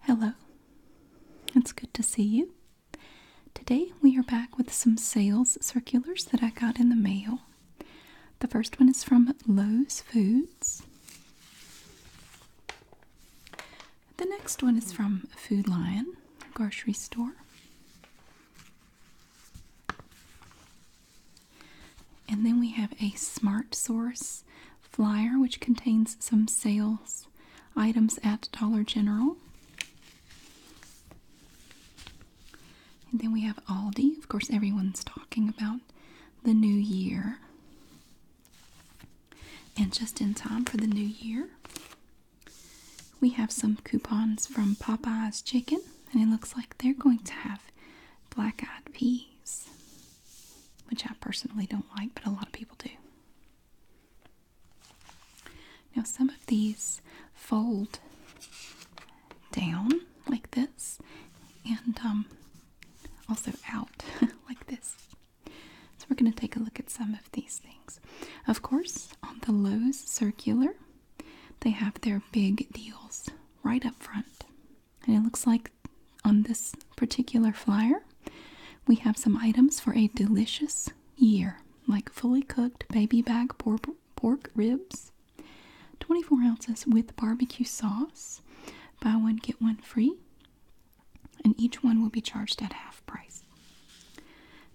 Hello, it's good to see you. Today we are back with some sales circulars that I got in the mail. The first one is from Lowe's Foods. The next one is from Food Lion grocery store. And then we have a smart source flyer, which contains some sales items at Dollar General. And then we have Aldi. Of course, everyone's talking about the new year. And just in time for the new year, we have some coupons from Popeye's Chicken, and it looks like they're going to have black eyed peas which I personally don't like, but a lot of people do. Now, some of these fold down like this and um, also out like this. So, we're going to take a look at some of these things. Of course, on the Lowe's Circular, they have their big deals right up front. And it looks like on this particular flyer, we have some items for a delicious year, like fully cooked baby back pork ribs, 24 ounces with barbecue sauce. Buy one, get one free. And each one will be charged at half price.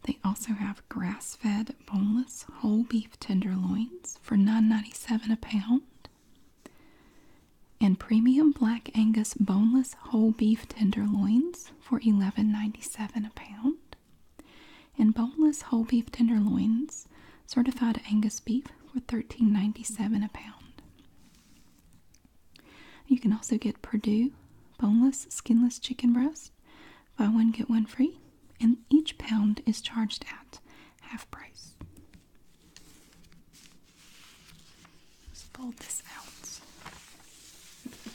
They also have grass fed boneless whole beef tenderloins for 9.97 a pound and premium black angus boneless whole beef tenderloins for $11.97 a pound and boneless whole beef tenderloins certified angus beef for $13.97 a pound you can also get purdue boneless skinless chicken breast buy one get one free and each pound is charged at half price Let's pull this out.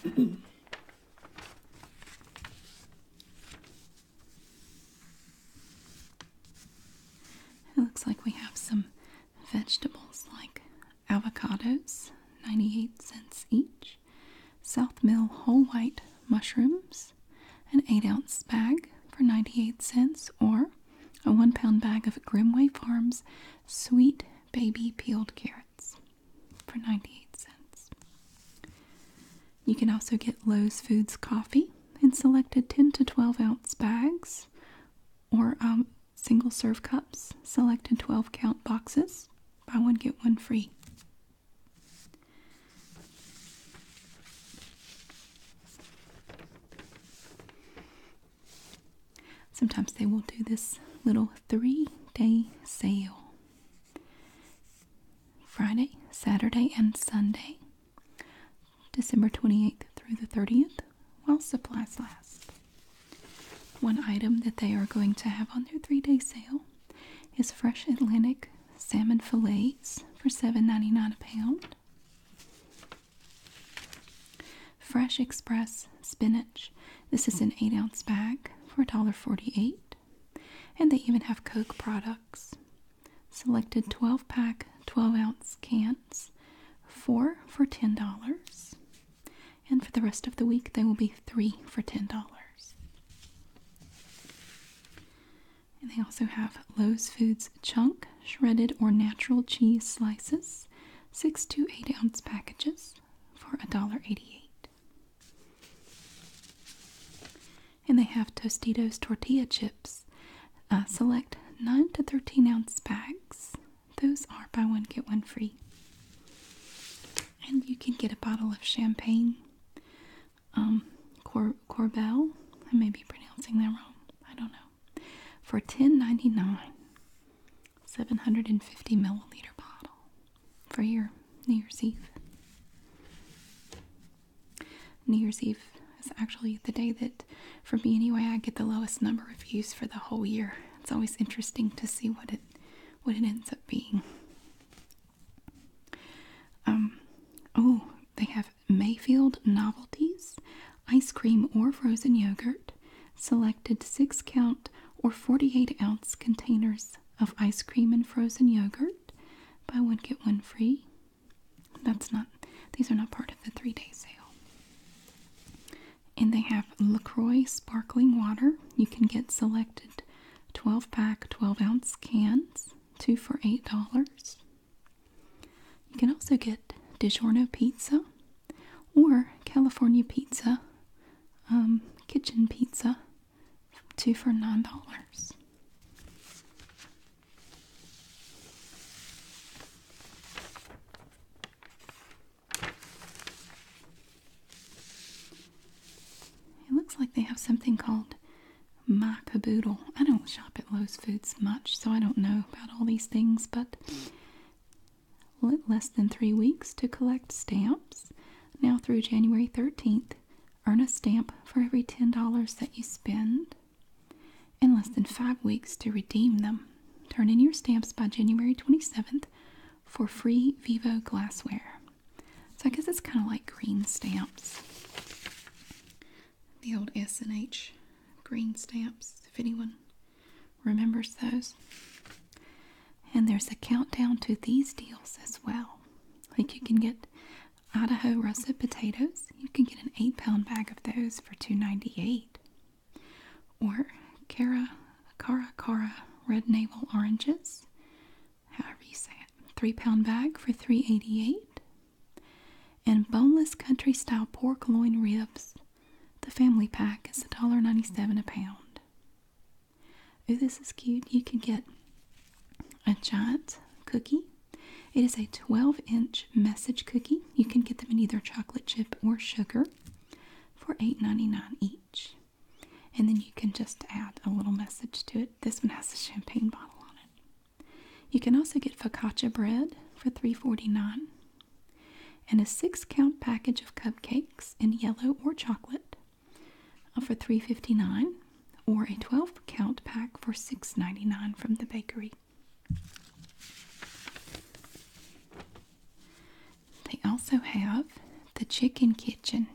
it looks like we have some vegetables like avocados, 98 cents each, South Mill whole white mushrooms, an 8 ounce bag for 98 cents, or a one pound bag of Grimway Farms sweet baby peeled carrots for 98 cents. You can also get Lowe's Foods coffee in selected 10 to 12 ounce bags or um, single serve cups, selected 12 count boxes. Buy one, get one free. Sometimes they will do this little three day sale Friday, Saturday, and Sunday, December 28th through the 30th, while supplies last. One item that they are going to have on their three day sale is fresh Atlantic salmon fillets for seven ninety-nine a pound. Fresh Express spinach. This is an 8 ounce bag for $1.48. And they even have Coke products. Selected 12 pack, 12 ounce cans, four for $10. And for the rest of the week, they will be three for $10. And they also have Lowe's Foods Chunk shredded or natural cheese slices six to eight ounce packages for $1.88. And they have Tostitos tortilla chips. Uh, select 9 to 13 ounce bags. Those are buy one, get one free. And you can get a bottle of champagne, um, Corbel. I may be pronouncing that wrong. I don't know for $10.99 750 milliliter bottle for your New Year's Eve. New Year's Eve is actually the day that, for me anyway, I get the lowest number of views for the whole year. It's always interesting to see what it what it ends up being. Um, oh, they have Mayfield novelties, ice cream or frozen yogurt, selected six count or 48 ounce containers of ice cream and frozen yogurt. by one, get one free. That's not, these are not part of the three day sale. And they have LaCroix sparkling water. You can get selected 12 pack, 12 ounce cans, two for $8. You can also get DiGiorno pizza or California pizza, um, kitchen pizza, two for nine dollars. It looks like they have something called my caboodle. I don't shop at Lowe's Foods much, so I don't know about all these things, but less than three weeks to collect stamps. Now through January 13th, earn a stamp for every $10 that you spend and less than five weeks to redeem them. Turn in your stamps by January 27th for free Vivo glassware. So I guess it's kind of like green stamps. The old S N H green stamps, if anyone remembers those. And there's a countdown to these deals as well. Like you can get Idaho russet potatoes. You can get an eight pound bag of those for two ninety eight. Or Cara Cara Cara red navel oranges. However you say it. Three pound bag for three eighty eight. And boneless country style pork loin ribs the family pack is $1.97 a pound. Oh, this is cute. You can get a giant cookie. It is a 12 inch message cookie. You can get them in either chocolate chip or sugar for $8.99 each. And then you can just add a little message to it. This one has a champagne bottle on it. You can also get focaccia bread for $3.49 and a six count package of cupcakes in yellow or chocolate uh, for $3.59 or a 12 count pack for $6.99 from the bakery. They also have the Chicken Kitchen.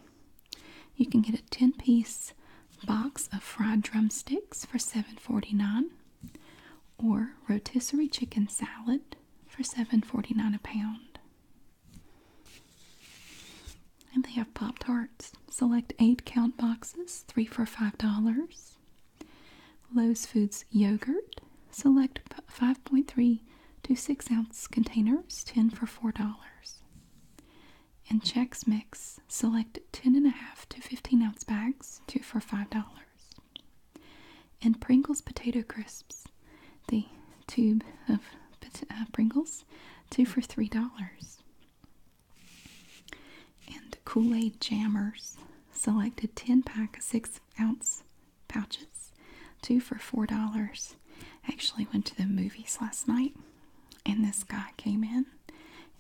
You can get a 10 piece box of fried drumsticks for $7.49 or rotisserie chicken salad for seven forty nine a pound. And they have Pop Tarts. Select 8 count boxes, 3 for $5. Lowe's Foods yogurt. Select 5.3 to 6 ounce containers, 10 for $4. And Chex Mix. Select 10.5 to 15 ounce bags, 2 for $5. And Pringles potato crisps, the tube of uh, Pringles, two for three dollars. And Kool Aid jammers, selected 10 pack, six ounce pouches, two for four dollars. Actually, went to the movies last night, and this guy came in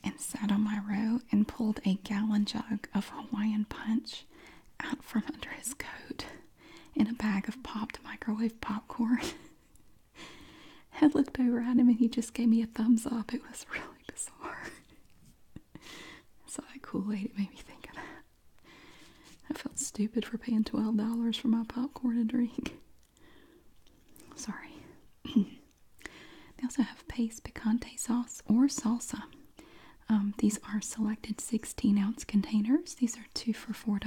and sat on my row and pulled a gallon jug of Hawaiian punch out from under his coat in a bag of popped microwave popcorn. I looked over at him and he just gave me a thumbs up. It was really bizarre. so that cool Aid made me think of that. I felt stupid for paying twelve dollars for my popcorn and drink. Sorry. they also have paste picante sauce or salsa. Um, these are selected 16 ounce containers. These are two for $4.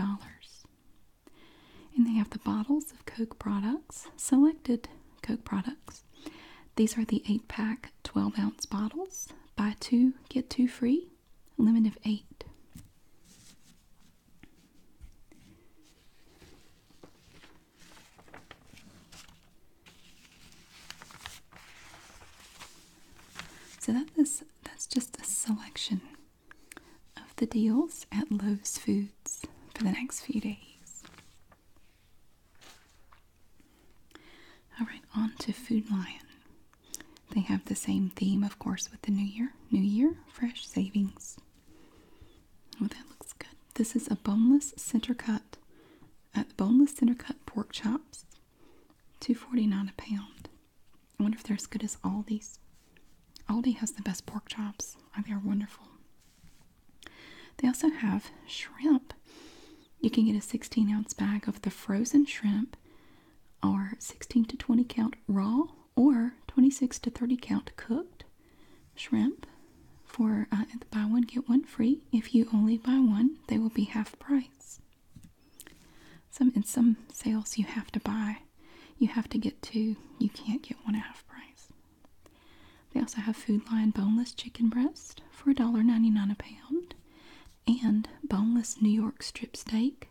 And they have the bottles of Coke products, selected Coke products. These are the 8 pack 12 ounce bottles. Buy two, get two free, limit of 8. So that is that's just a selection of the deals at Lowe's Foods for the next few days. Alright, on to Food Lion. They have the same theme, of course, with the new year. New year, fresh savings. Oh, that looks good. This is a boneless center cut at the boneless center cut pork chops, two forty nine a pound. I wonder if they're as good as Aldi's. Aldi has the best pork chops. Oh, they are wonderful. They also have shrimp. You can get a 16 ounce bag of the frozen shrimp, or 16 to 20 count raw, or 26 to 30 count cooked shrimp for uh, buy one get one free. If you only buy one, they will be half price. Some in some sales you have to buy, you have to get two. You can't get one at half price. They also have Food line boneless chicken breast for ninety nine a pound, and boneless New York strip steak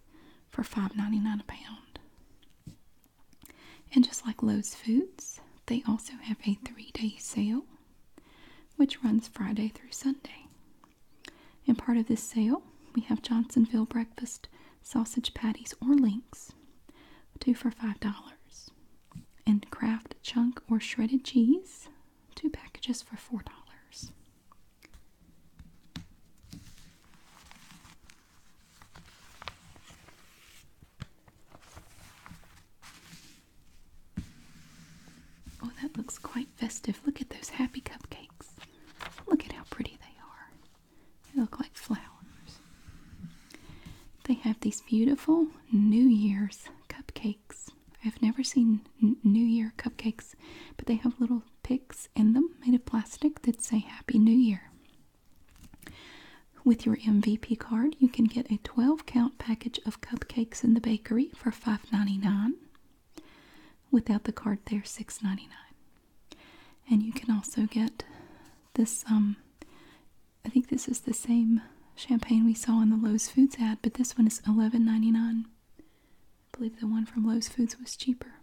for $5.99 a pound. And just like Lowe's Foods, they also have a three-day sale which runs Friday through Sunday. In part of this sale, we have Johnsonville breakfast sausage patties or links, two for $5. And Kraft chunk or shredded cheese, two packages for $4. Oh, that looks quite festive. Look at those happy cupcakes. Look at how pretty they are. They look like flowers. They have these beautiful New Year's cupcakes. I've never seen New Year cupcakes, but they have little picks in them made of plastic that say Happy New Year. With your MVP card, you can get a 12 count package of cupcakes in the bakery for $5.99. Without the card, there are 6 $6.99. And you can also get this, um, I think this is the same champagne we saw in the Lowe's Foods ad, but this one is $11.99. I believe the one from Lowe's Foods was cheaper.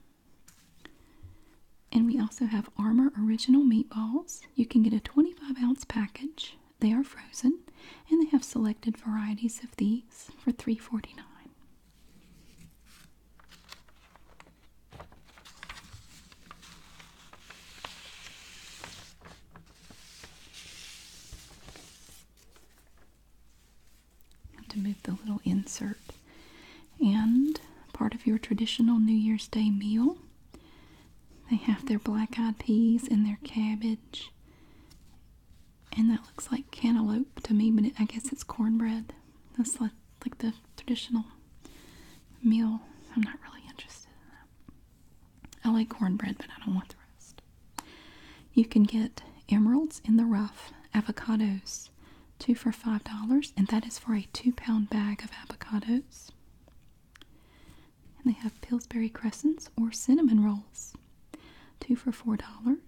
And we also have Armor Original Meatballs. You can get a 25 ounce package they are frozen and they have selected varieties of these for three forty nine. dollars To move the little insert. And part of your traditional New Year's Day meal they have their black eyed peas and their cabbage. And that looks like cantaloupe to me, but I guess it's cornbread. That's like the traditional meal. I'm not really interested in that. I like cornbread, but I don't want the rest. You can get emeralds in the rough, avocados, two for $5, and that is for a two pound bag of avocados they have Pillsbury crescents or cinnamon rolls, two for $4,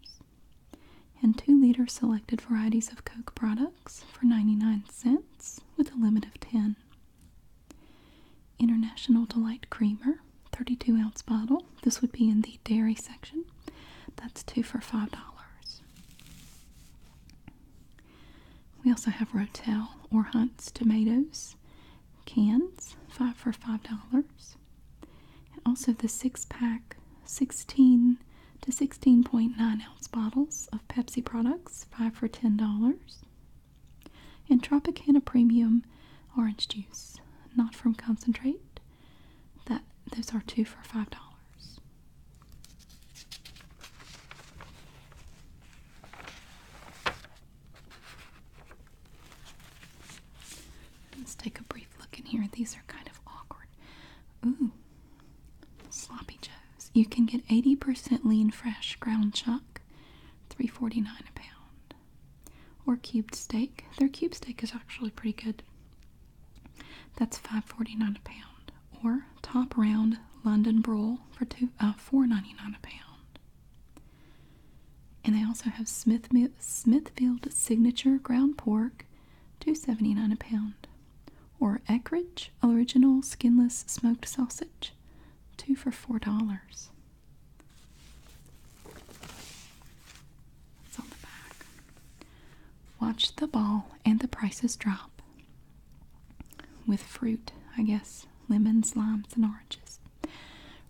and two liter selected varieties of Coke products for 99 cents with a limit of 10. International Delight Creamer, 32 ounce bottle. This would be in the dairy section. That's two for $5. We also have Rotel or Hunt's tomatoes cans, five for five dollars. And also the six pack, 16 to 16.9 ounce bottles of Pepsi products, five for ten dollars. And Tropicana Premium orange juice, not from concentrate. That those are two for five dollars. Let's take a brief look in here. These are kind of awkward. Ooh, sloppy joes. You can get 80% lean fresh ground chuck, 3.49 a pound. Or cubed steak. Their cubed steak is actually pretty good. That's 5.49 a pound. Or top round London broil for two uh, 4.99 a pound. And they also have Smithfield Signature ground pork, two seventy nine a pound, or Eckridge Original Skinless Smoked Sausage, two for four dollars. It's on the back. Watch the ball and the prices drop. With fruit, I guess lemons, limes, and oranges.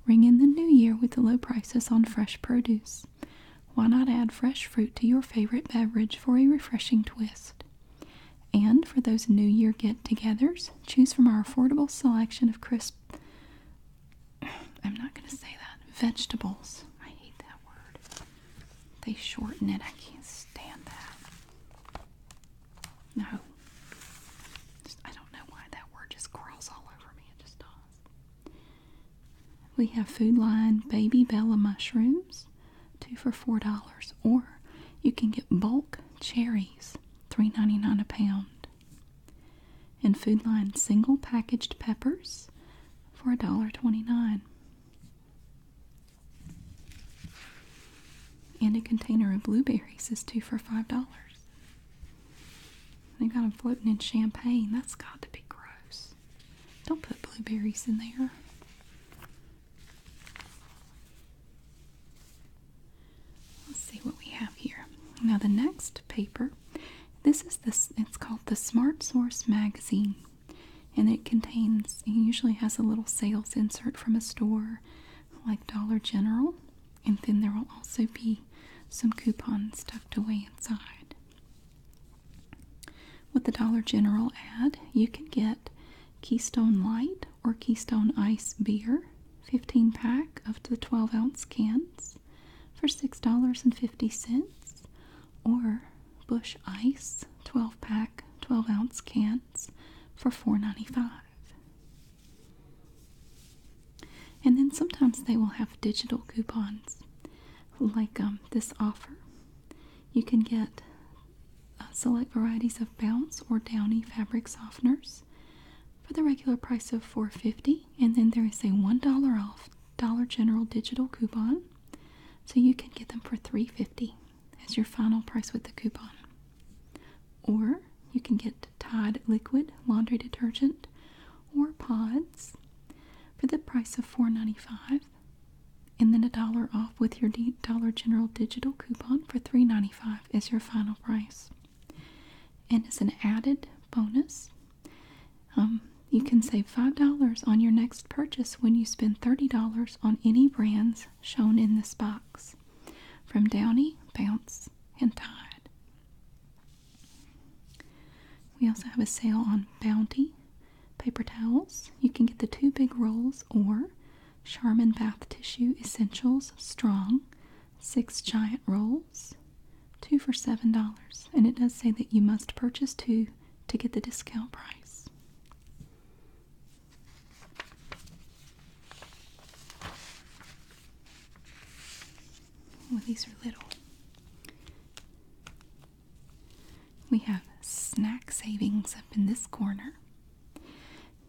Ring in the new year with the low prices on fresh produce. Why not add fresh fruit to your favorite beverage for a refreshing twist? And for those New Year get togethers, choose from our affordable selection of crisp. I'm not going to say that. Vegetables. I hate that word. They shorten it. I can't stand that. No, I don't know why that word just crawls all over me. It just does. We have Food Line Baby Bella mushrooms, two for four dollars, or you can get bulk cherries, three ninety nine a pound. And Food Line single packaged peppers for a dollar twenty nine. And a container of blueberries is two for five dollars. They got them floating in champagne. That's got to be gross. Don't put blueberries in there. Let's see what we have here. Now the next paper, this is this. It's called the Smart Source Magazine, and it contains. It usually has a little sales insert from a store, like Dollar General and then there will also be some coupons tucked away inside. With the Dollar General ad, you can get Keystone Light or Keystone Ice beer, 15 pack of the 12 ounce cans for $6.50, or Bush Ice 12 pack, 12 ounce cans for $4.95. And then sometimes they will have digital coupons, like um, this offer. You can get uh, select varieties of bounce or downy fabric softeners for the regular price of $4.50, and then there is a $1 off Dollar General digital coupon, so you can get them for $3.50 as your final price with the coupon. Or you can get Tide liquid laundry detergent or pods for the price of $4.95 and then a dollar off with your Dollar General digital coupon for $3.95 is your final price. And as an added bonus, um, you can save $5 on your next purchase when you spend $30 on any brands shown in this box from Downy, Bounce, and Tide. We also have a sale on Bounty paper towels. You can get the two big rolls or Charmin Bath Tissue Essentials Strong, six giant rolls, two for $7. And it does say that you must purchase two to get the discount price. Oh, these are little. We have snack savings up in this corner.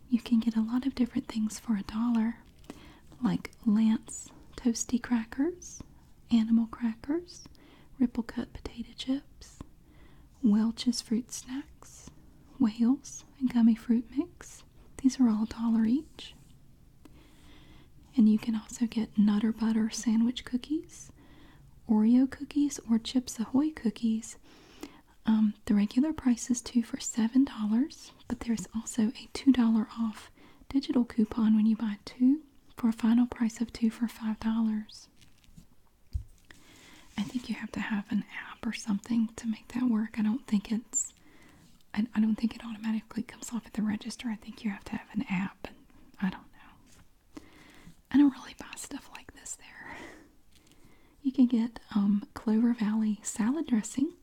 You can get a lot of different things for a dollar, like Lance toasty crackers, animal crackers, ripple cut potato chips, Welch's fruit snacks, whales and gummy fruit mix, these are all a dollar each. And you can also get Nutter Butter sandwich cookies, Oreo cookies, or Chips Ahoy cookies. Um, the regular price is two for seven dollars, but there's also a two dollar off digital coupon when you buy two for a final price of two for five dollars. I think you have to have an app or something to make that work. I don't think it's I, don't think it automatically comes off at the register. I think you have to have an app, and I don't know. I don't really buy stuff like this there. You can get um, Clover Valley salad dressing,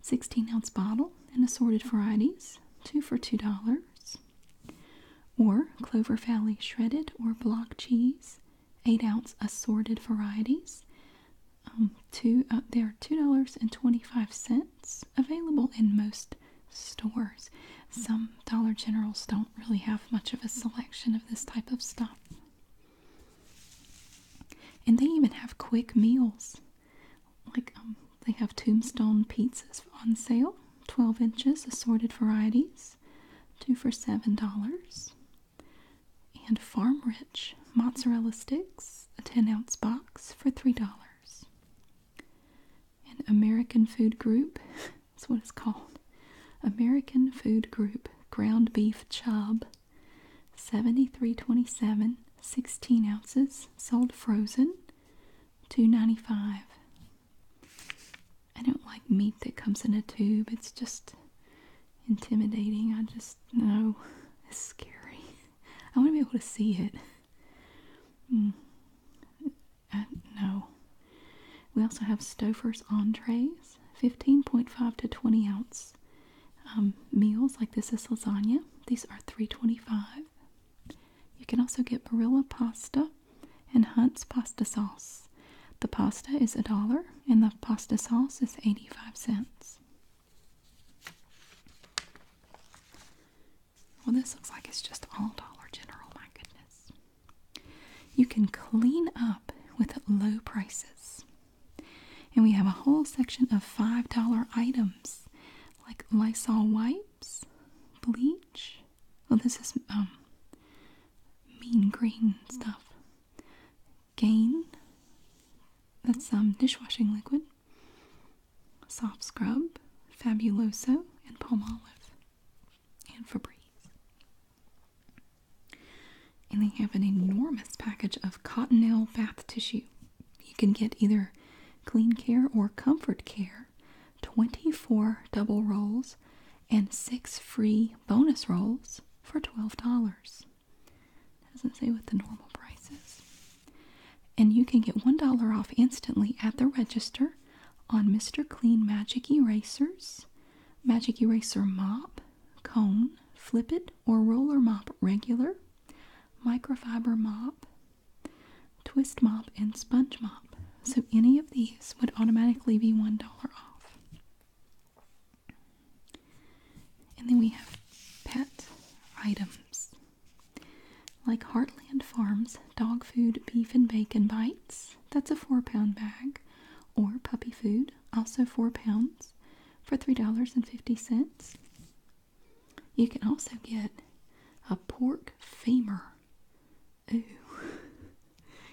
16 ounce bottle and assorted varieties, two for $2. Or Clover Valley shredded or block cheese, 8 ounce assorted varieties, um, two, uh, they are two dollars and twenty-five cents available in most stores. Some Dollar Generals don't really have much of a selection of this type of stuff, and they even have quick meals. Like um, they have Tombstone pizzas on sale, twelve inches, assorted varieties, two for seven dollars and farm rich mozzarella sticks, a 10 ounce box for $3. An American Food Group, that's what it's called American Food Group ground beef chub, 73.27, 16 ounces, sold frozen, 2.95. I don't like meat that comes in a tube. It's just intimidating. I just know it's scary. I want to be able to see it. Mm. Uh, no. We also have Stouffer's entrees, 15.5 to 20 ounce um, meals like this is lasagna. These are 325. You can also get Barilla pasta and Hunt's pasta sauce. The pasta is a dollar and the pasta sauce is 85 cents. Well, this looks like it's just all Dollar General, my goodness. You can clean up with low prices. And we have a whole section of $5 items like Lysol wipes, bleach. Well, this is um, mean green stuff. Gain. That's some dishwashing liquid. Soft Scrub, Fabuloso, and Palm Olive. And Febreze. And they have an enormous package of Cottonelle bath tissue. You can get either Clean Care or Comfort Care, 24 double rolls, and 6 free bonus rolls for $12. It doesn't say what the normal price is. And you can get $1 off instantly at the register on Mr. Clean Magic Erasers, Magic Eraser Mop, Cone, Flip It, or Roller Mop Regular, Microfiber Mop, Twist Mop, and Sponge Mop. So any of these would automatically be $1 off. And then we have pet items like Heartland Farms dog food, beef and bacon bites. That's a four pound bag. Or puppy food, also four pounds for $3.50. You can also get a pork femur. Ooh.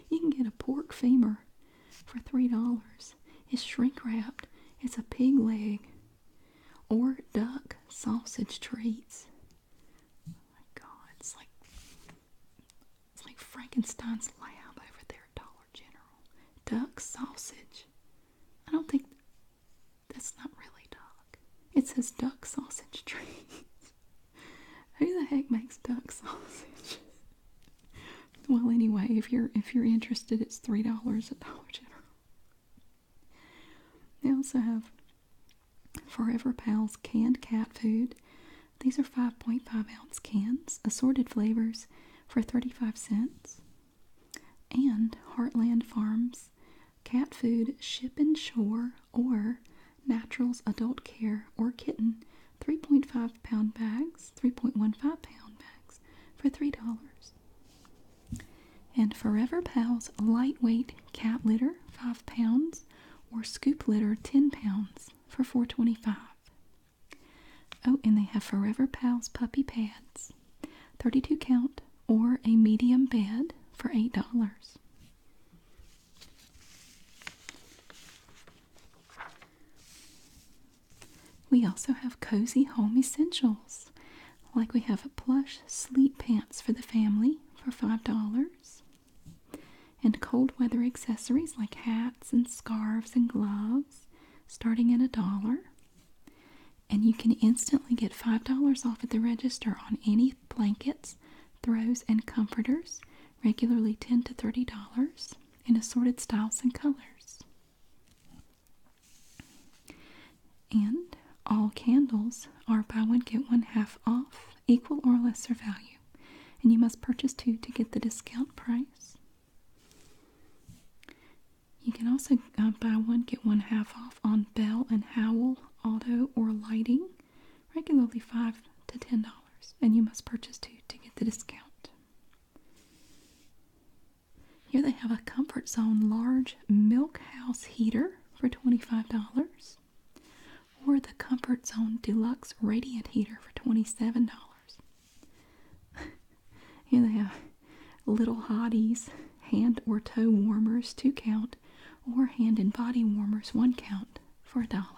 You can get a pork femur for $3. It's shrink wrapped. It's a pig leg or duck sausage treats. Oh my god, it's like it's like Frankenstein's lab over there at Dollar General. Duck sausage. I don't think that's not really duck. It says duck sausage treats. Who the heck makes duck sausage? Well, anyway, if you're if you're interested, it's three dollars at Dollar General. They also have Forever Pals canned cat food. These are 5.5 ounce cans, assorted flavors for 35 cents. And Heartland Farms cat food ship and shore or Naturals Adult Care or Kitten 3.5 pound bags, 3.15 pound bags for $3. And Forever Pals lightweight cat litter, five pounds, or scoop litter, ten pounds, for four twenty-five. Oh, and they have Forever Pals puppy pads, thirty-two count, or a medium bed for eight dollars. We also have cozy home essentials, like we have plush sleep pants for the family for $5, and cold weather accessories like hats and scarves and gloves starting at a dollar. And you can instantly get $5 off at the register on any blankets, throws, and comforters, regularly $10 to $30, in assorted styles and colors. And all candles are buy one, get one half off, equal or lesser value. And you must purchase two to get the discount price. You can also uh, buy one, get one half off on Bell and Howell Auto or Lighting, regularly 5 to $10. And you must purchase two to get the discount. Here they have a Comfort Zone large milk house heater for $25 or the Comfort Zone Deluxe Radiant Heater for $27. Here they have little hotties, hand or toe warmers, two count, or hand and body warmers, one count, for a dollar.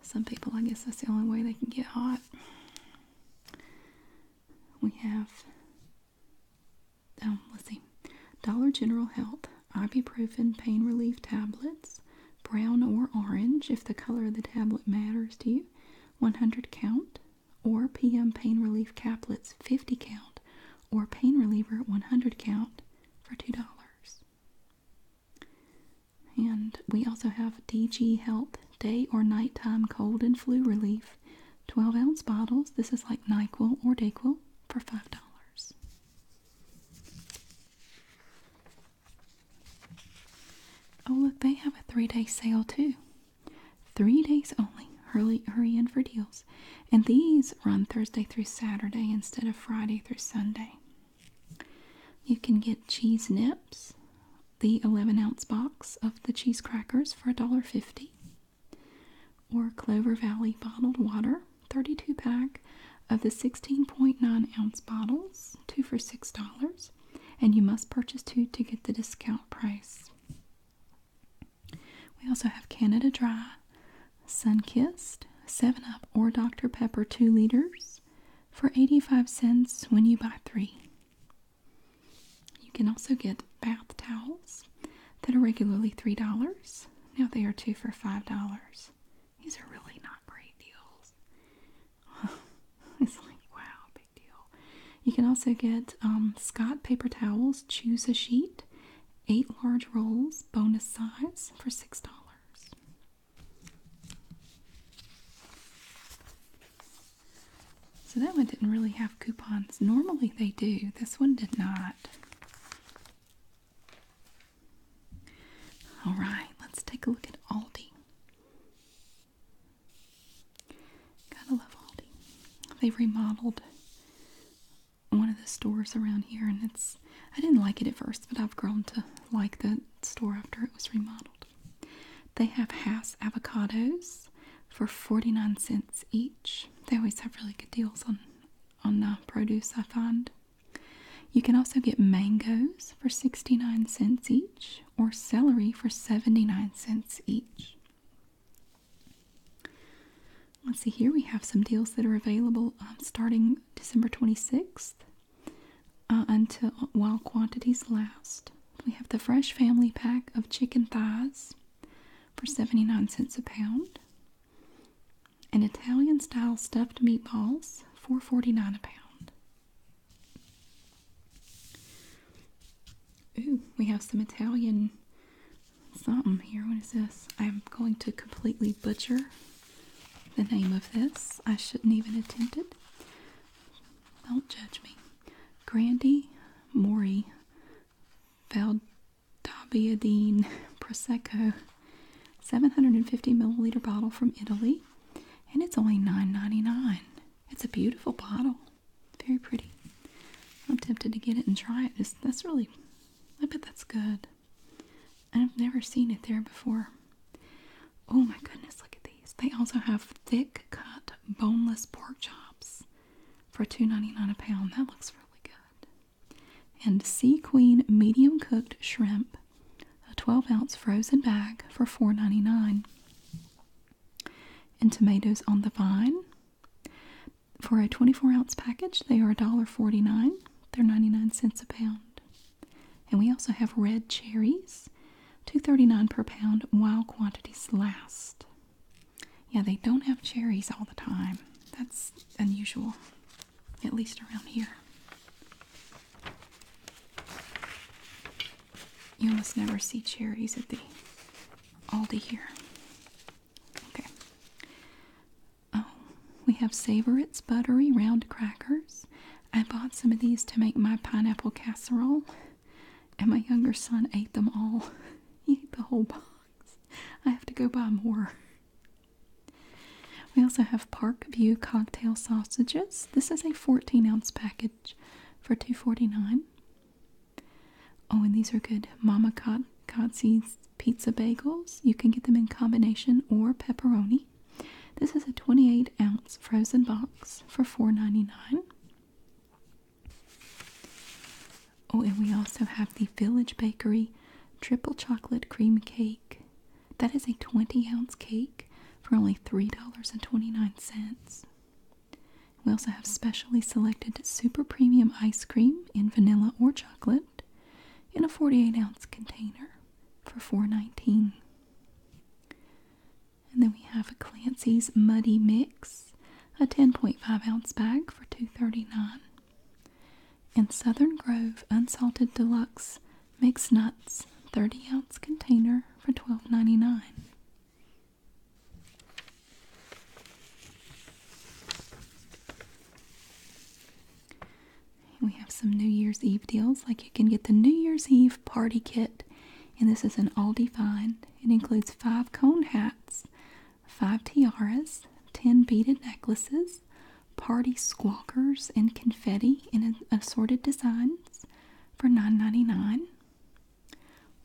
Some people, I guess that's the only way they can get hot. We have, um, let's see, Dollar General Health ibuprofen pain relief tablets, brown or orange, if the color of the tablet matters to you, 100 count, or PM pain relief caplets, 50 count, or pain reliever, 100 count, for $2. And we also have DG Health Day or Nighttime Cold and Flu Relief 12 ounce bottles. This is like NyQuil or DayQuil for $5. Oh, look, they have a three day sale too. Three days only. Hurry, hurry in for deals. And these run Thursday through Saturday instead of Friday through Sunday. You can get cheese nips, the 11 ounce box of the cheese crackers for $1.50, or Clover Valley bottled water, 32 pack of the 16.9 ounce bottles, two for $6, and you must purchase two to get the discount price. We also have Canada Dry, Sun Kissed, 7 Up, or Dr. Pepper 2 liters for 85 cents when you buy three. You can also get bath towels that are regularly $3. Now they are two for $5. These are really not great deals. it's like, wow, big deal. You can also get um, Scott paper towels, choose a sheet, eight large rolls, bonus size for $6. So that one didn't really have coupons. Normally they do. This one did not. All right, let's take a look at Aldi. Gotta love Aldi. they remodeled one of the stores around here, and it's I didn't like it at first, but I've grown to like the store after it was remodeled. They have Hass avocados for 49 cents each. They always have really good deals on, on uh, produce, I find. You can also get mangoes for 69 cents each or celery for 79 cents each. Let's see, here we have some deals that are available um, starting December 26th uh, until while quantities last. We have the fresh family pack of chicken thighs for 79 cents a pound and Italian style stuffed meatballs for 49 a pound. Ooh, we have some Italian something here. What is this? I'm going to completely butcher the name of this. I shouldn't even attempt it. Don't judge me. Grandi, Mori, Valdabiadine Prosecco, 750 milliliter bottle from Italy, and it's only nine ninety nine. It's a beautiful bottle, very pretty. I'm tempted to get it and try it. It's, that's really, I bet that's good. I've never seen it there before. Oh my goodness, look at these. They also have thick cut boneless pork chops for $2.99 a pound. That looks really good. And Sea Queen medium cooked shrimp, a 12 ounce frozen bag for $4.99. And tomatoes on the vine. For a 24 ounce package, they are $1.49. They're 99 cents a pound. And we also have red cherries, 239 per pound while quantities last. Yeah, they don't have cherries all the time. That's unusual, at least around here. You almost never see cherries at the Aldi here. Okay. Oh, we have Savorits buttery round crackers. I bought some of these to make my pineapple casserole, and my younger son ate them all. He ate the whole box. I have to go buy more. We also have Park View cocktail sausages. This is a 14 ounce package for two forty-nine. Oh, and these are good. Mama Kotze's pizza bagels. You can get them in combination or pepperoni. This is a 28 ounce frozen box for $4.99. Oh, and we also have the Village Bakery Triple Chocolate Cream Cake. That is a 20 ounce cake for only $3.29. We also have specially selected super premium ice cream in vanilla or chocolate in a 48 ounce container for $4.19. And then we have a Clancy's Muddy Mix, a 10.5 ounce bag for $2.39. And Southern Grove Unsalted Deluxe Mixed Nuts, 30 ounce container for $12.99. We have some New Year's Eve deals, like you can get the New Year's Eve party kit and this is an all find. It includes five cone hats, five tiaras, ten beaded necklaces, party squawkers, and confetti in assorted designs for $9.99.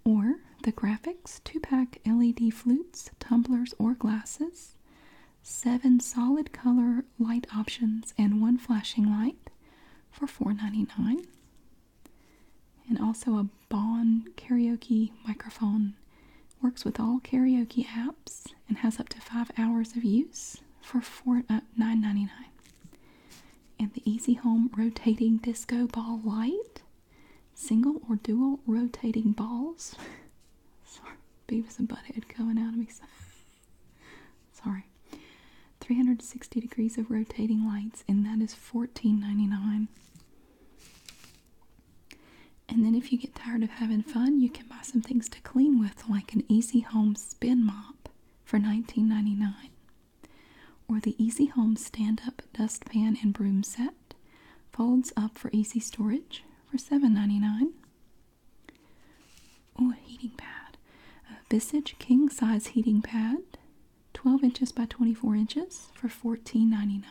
Or the graphics, two pack LED flutes, tumblers, or glasses, seven solid color light options and one flashing light for $4.99. And also a Bon karaoke microphone. Works with all karaoke apps and has up to five hours of use for four dollars uh, 99 And the Easy Home rotating disco ball light, single or dual rotating balls. Sorry, Beavis and Butthead coming out of me. Sorry. 360 degrees of rotating lights, and that is $14.99. And then, if you get tired of having fun, you can buy some things to clean with, like an Easy Home Spin Mop for $19.99, or the Easy Home Stand Up Dustpan and Broom Set, folds up for easy storage for $7.99. Ooh, a heating pad. A Visage king size heating pad, 12 inches by 24 inches for $14.99.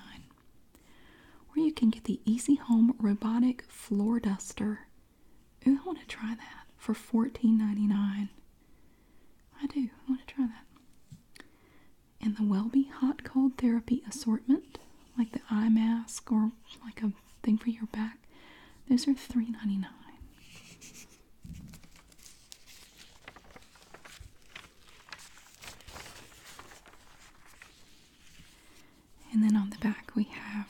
Or you can get the Easy Home Robotic Floor Duster. Ooh, I want to try that for $14.99. I do. I want to try that. And the Welby Hot Cold Therapy Assortment, like the eye mask or like a thing for your back, those are $3.99. And then on the back we have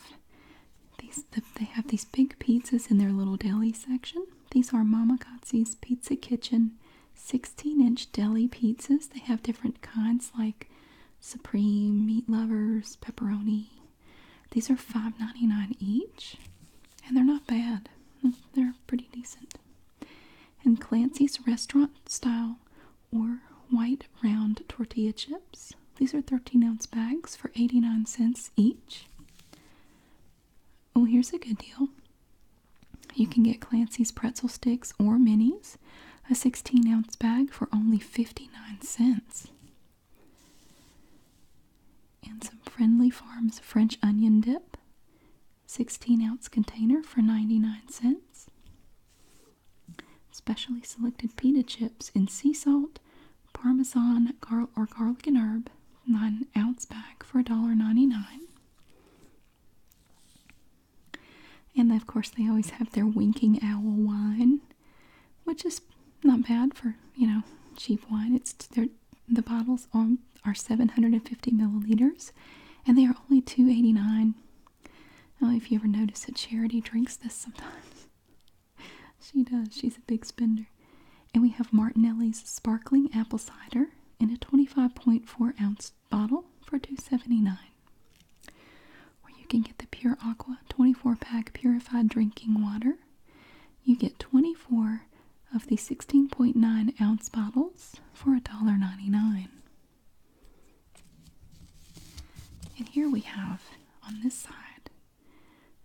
these they have these big pizzas in their little deli section. These are Mama Katsi's Pizza Kitchen 16-inch deli pizzas. They have different kinds like supreme, meat lovers, pepperoni, these are $5.99 each, and they're not bad. They're pretty decent. And Clancy's restaurant style or white round tortilla chips. These are 13 ounce bags for 89 cents each. Oh, here's a good deal. You can get Clancy's pretzel sticks or minis, a 16 ounce bag for only 59 cents. And some Friendly Farms French onion dip, 16 ounce container for 99 cents. Specially selected pita chips in sea salt, parmesan, or garlic and herb, 9 ounce bag for $1.99. And of course, they always have their winking owl wine which is not bad for you know cheap wine. It's the bottles are 750 milliliters, and they are only 289. Now, if you ever notice that Charity drinks this sometimes, she does. She's a big spender. And we have Martinelli's sparkling apple cider in a 25.4 ounce bottle for 279 or you can get the Pure Aqua 24 pack purified drinking water you get 24 of the 16.9 ounce bottles for $1.99. And here we have on this side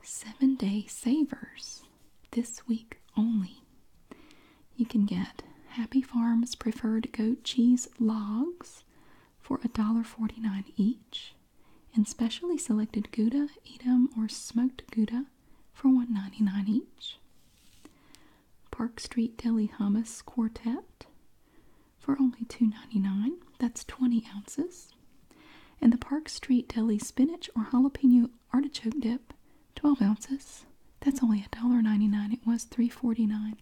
seven day savers this week only. You can get Happy Farms preferred goat cheese logs for $1.49 each and specially selected Gouda, Edam, or smoked Gouda for $1.99 each. Park Street Deli Hummus Quartet for only $2.99. That's 20 ounces. And the Park Street Deli Spinach or Jalapeno Artichoke Dip, 12 ounces. That's only $1.99. It was $3.49.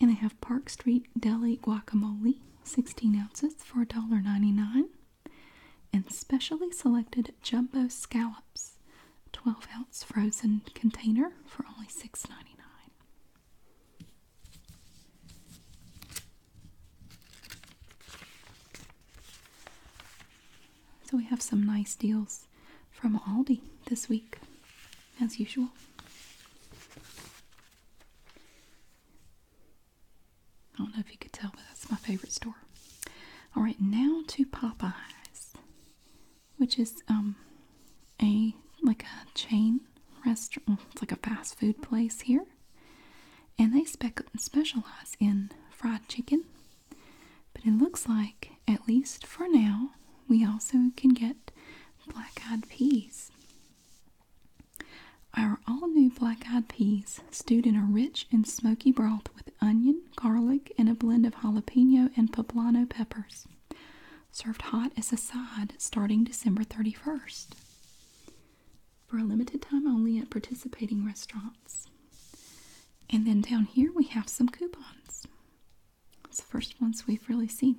And they have Park Street Deli Guacamole 16 ounces for $1.99, and specially selected jumbo scallops, 12 ounce frozen container for only $6.99. So we have some nice deals from Aldi this week, as usual. I don't know if you could tell, but that's my favorite store. All right, now to Popeyes, which is um a like a chain restaurant. It's like a fast food place here, and they spec specialize in fried chicken. But it looks like, at least for now, we also can get black-eyed peas. Our all new black eyed peas, stewed in a rich and smoky broth with onion, garlic, and a blend of jalapeno and poblano peppers. Served hot as a side starting December 31st. For a limited time only at participating restaurants. And then down here we have some coupons. It's the first ones we've really seen.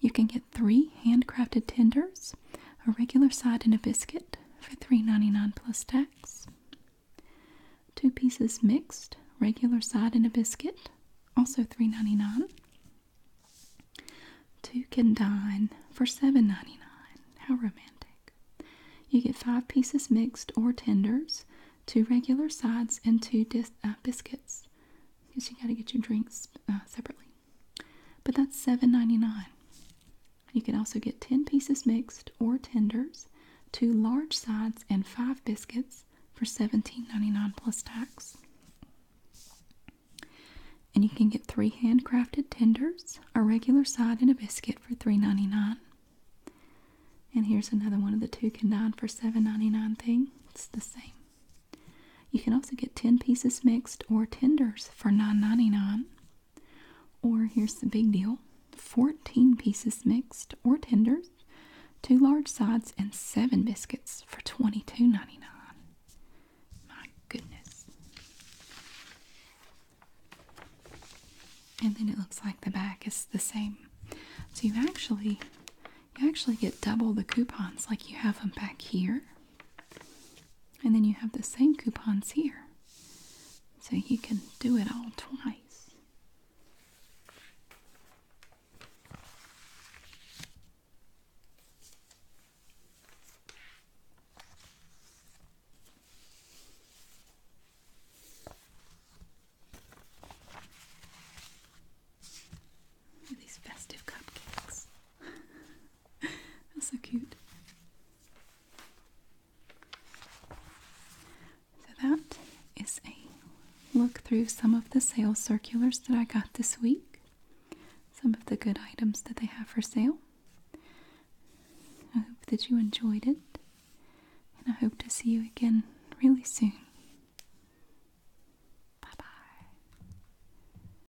You can get three handcrafted tenders, a regular side, and a biscuit for three ninety nine plus tax. Two pieces mixed, regular side, and a biscuit, also three ninety 2 can dine for seven ninety nine. How romantic. You get five pieces mixed or tenders, two regular sides, and two uh, biscuits because you got to get your drinks uh, separately. But that's $7.99. You can also get 10 pieces mixed or tenders, two large sides, and five biscuits for $17.99 plus tax. And you can get three handcrafted tenders, a regular side, and a biscuit for $3.99. And here's another one of the two can nine for $7.99 thing. It's the same. You can also get 10 pieces mixed or tenders for $9.99. Or here's the big deal 14 pieces mixed or tenders, two large sides, and seven biscuits for $22.99. My goodness. And then it looks like the back is the same. So you actually you actually get double the coupons like you have them back here. And then you have the same coupons here. So you can do it all twice. These festive cupcakes. That's so cute. So that is a look through some of the sale circulars that I got this week. Some of the good items that they have for sale. I hope that you enjoyed it. And I hope to see you again really soon. Bye bye.